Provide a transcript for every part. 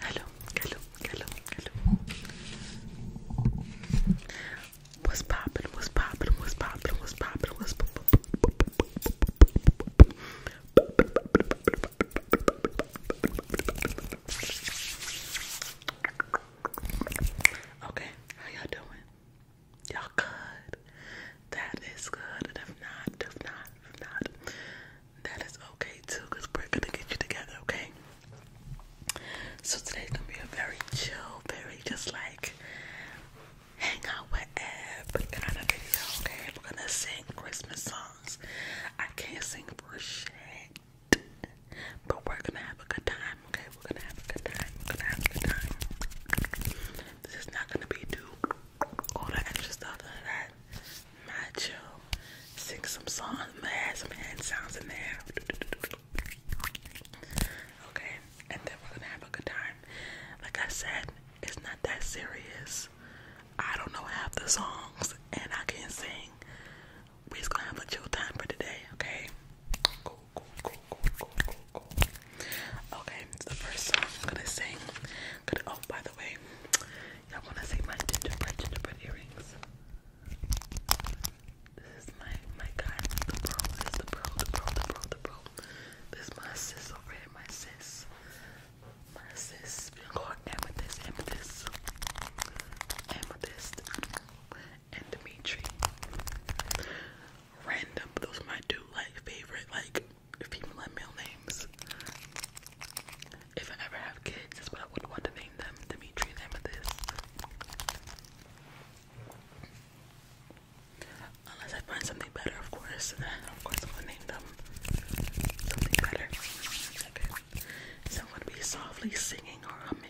Hello, hello, hello, hello. What's poppin'? What's poppin'? What's poppin'? What's poppin'? What's poppin'? Okay, how y'all doing? Y'all good. That is good. And if not, if not, if not, that is okay too, because we're gonna get you together, okay? So today's gonna be a very chill, very just like hang out with Eb kind of video, okay? We're gonna sing Christmas songs. I can't sing for shit. But we're gonna have a good time okay? We're gonna have a good time. We're gonna have a good time. This is not gonna be too all that extra stuff, that. chill. Sing some songs, gonna add some hand sounds in there. Okay, and then we're gonna have a good time. Like I said, it's not that serious. I don't know half the songs and I can't sing. We're just gonna have a chill time for today, okay? Cool cool, cool, Okay, the first song I'm gonna sing. oh, by the way, y'all wanna see my gingerbread gingerbread earrings? This is my my guy, the pearl. the pearl, the pearl, the pearl, the pearl. This my sis over here, my sis. My sis. We going amethyst, amethyst, amethyst and Dimitri. Random, those are my two like favorite like female and male names. If I ever have kids, that's what I would want to name them. Dimitri and Amethyst. Unless I find something better, of course, of course I'm name them something better. Okay. So gonna be softly singing or humming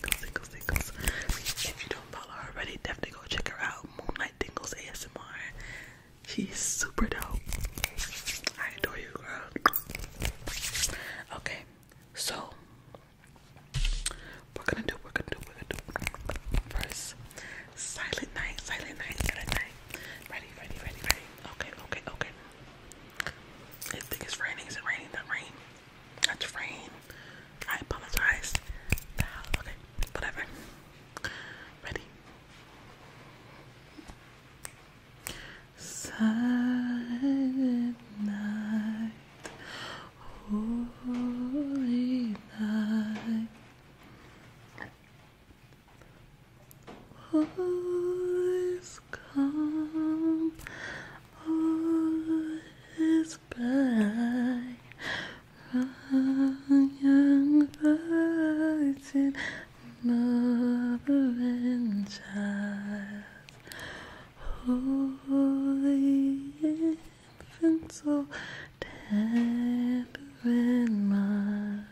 Dingles, If you don't follow already, definitely go check her out. Moonlight Dingles ASMR. She's super dope. I adore you, girl. Okay, so we're gonna do, we're gonna do, we're gonna do first. Silent night, silent night, silent night. Ready, ready, ready, ready. Okay, okay, okay. I think it's raining. Is raining? That's frame. I apologize. Okay, whatever. Ready? Silent night, holy night, all is calm, all is Bye, young virgin mother and child. Holy infant, so tender and mild.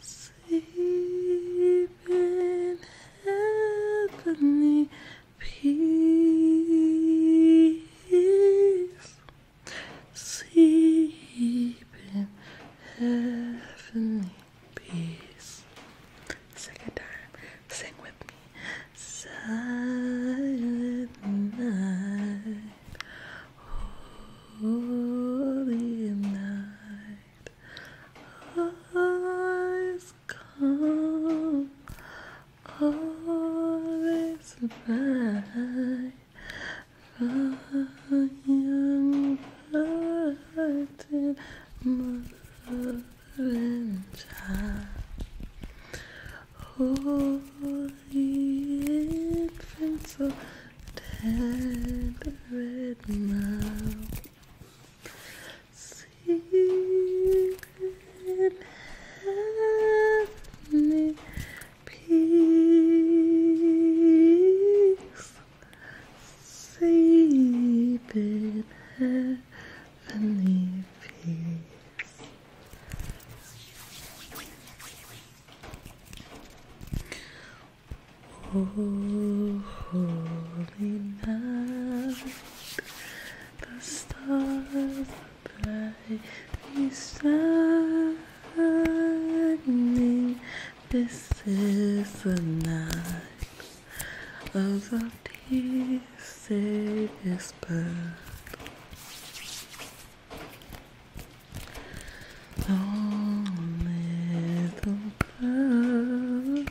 Sleep heavenly peace, sleep in heavenly peace. Second time, sing with me. Silent night, holy night. I come, all is right for young hearted mother and child. Holy infant, so tender now. Secret heavenly peace. Secret heavenly peace. Oh, holy night. The stars are brightly shining. This is the night of the peace is birth. little bird,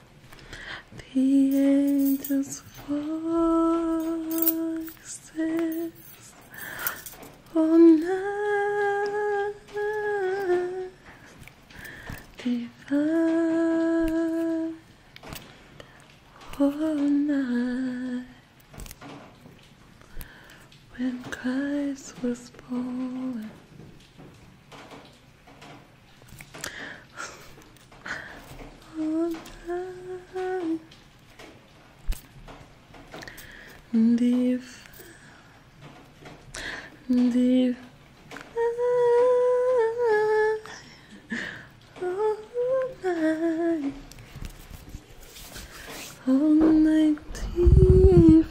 the angels' voices all night. Divine all night. When Christ was born, oh, no. Deep, deep. Oh, my. Oh, my deep.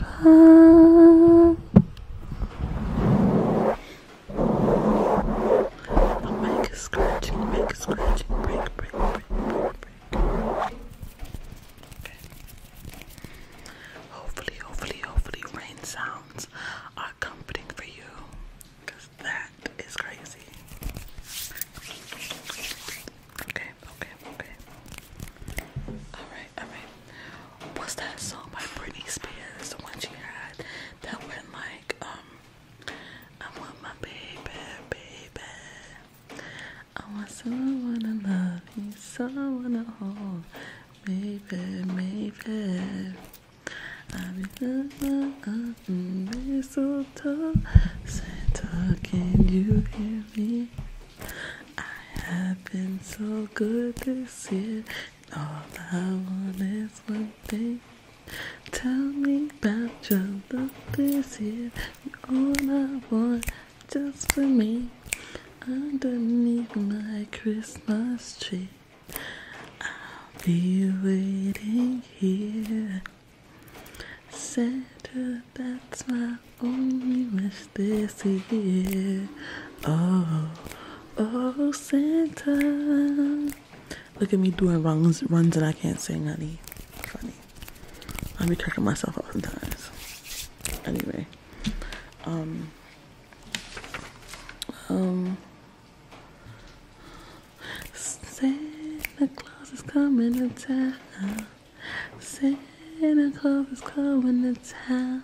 I'll make a scratching, make a scratching, break, break, break, break, break. Okay. Hopefully, hopefully, hopefully, rain sounds are comforting for you. that is crazy. Okay, okay, okay. Alright, alright what's that song by Britney Spears? The one she had that went like, um, I want my baby, baby. I want someone to love you, someone to hold. Maybe, maybe. I'll be looking up mistletoe. Santa, can you hear me? I have been so good this year. All I want is one thing. Tell me about your love this year. All I want just for me. Underneath my Christmas tree. I'll be waiting here. Santa, that's my only wish this year. Oh. Oh, Santa. Look at me doing runs, runs that I can't sing, honey. Funny. I'll be cracking myself up sometimes. Anyway. Um. Um. Santa Claus is coming to town. Santa Claus is coming to town.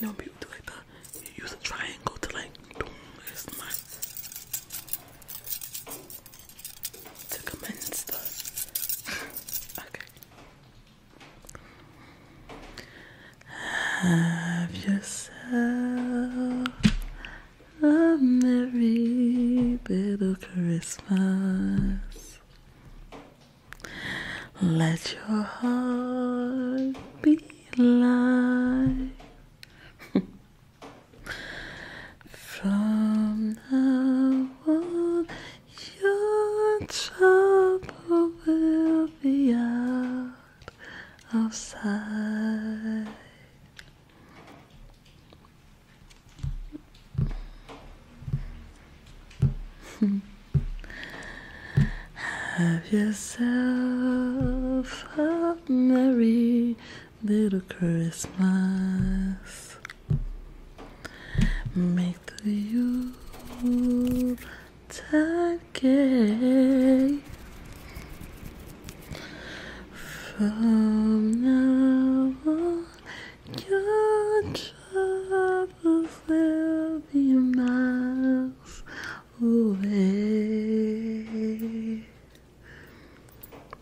You know, people do like that. you use a triangle to like boom. It's not to commence the. okay. Have yourself a merry little Christmas. Let your heart be light. From now on, your trouble will be out of sight. Have yourself a merry little Christmas. Make the Yuletide gay. From now on, your troubles will be miles away.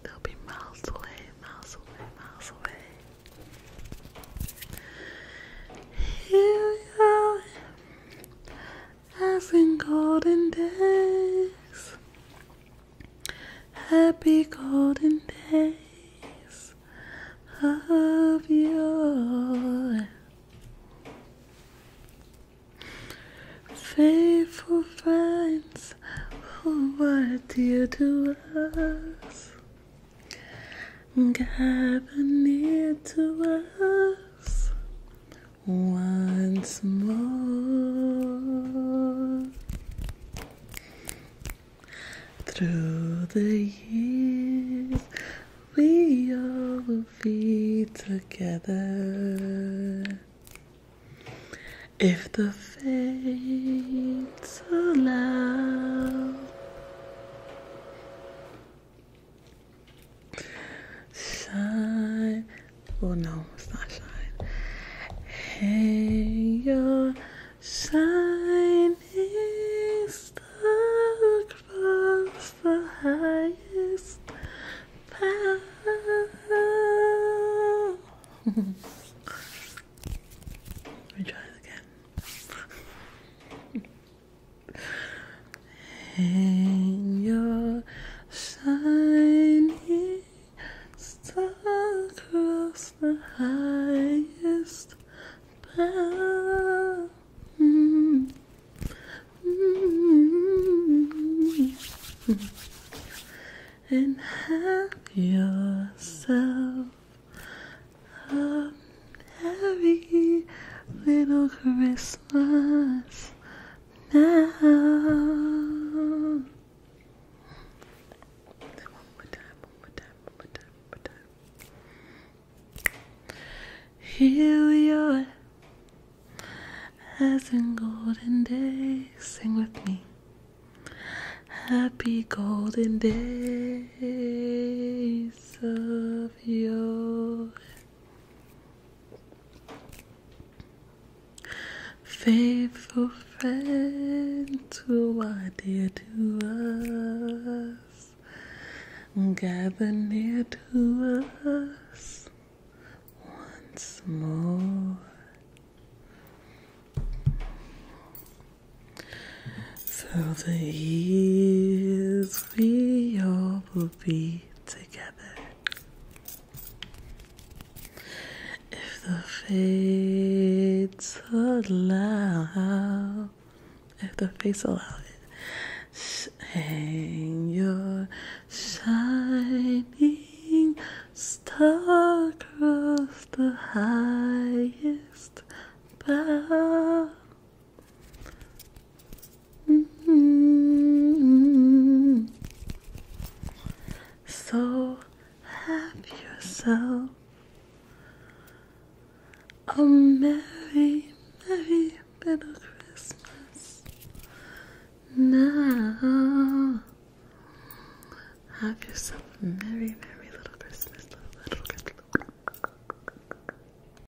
They'll be miles away, miles away, miles away. Here you are as in golden days. Happy golden days of yore. Faithful friends who were dear to us, gather near to us once more through the years we all will be together if the fates allow Shine. Oh no, it's not shine. Hey, your shine is the the highest power. Let me try it again. And you're shining star across the highest bough. And have yourself a happy little Christmas now. One more time, one more time, one more time, one more time. Here we are, as in golden days. Sing with me. Happy golden days of yore. Faithful friend who are dear to us, gather near to us once more. Through the years we all will be together. If the fates allow, if the fates allow it, hang your shining star across the highest bough. Mm -hmm. So help yourself. A merry, merry little Christmas. Now, have yourself a merry, merry little Christmas,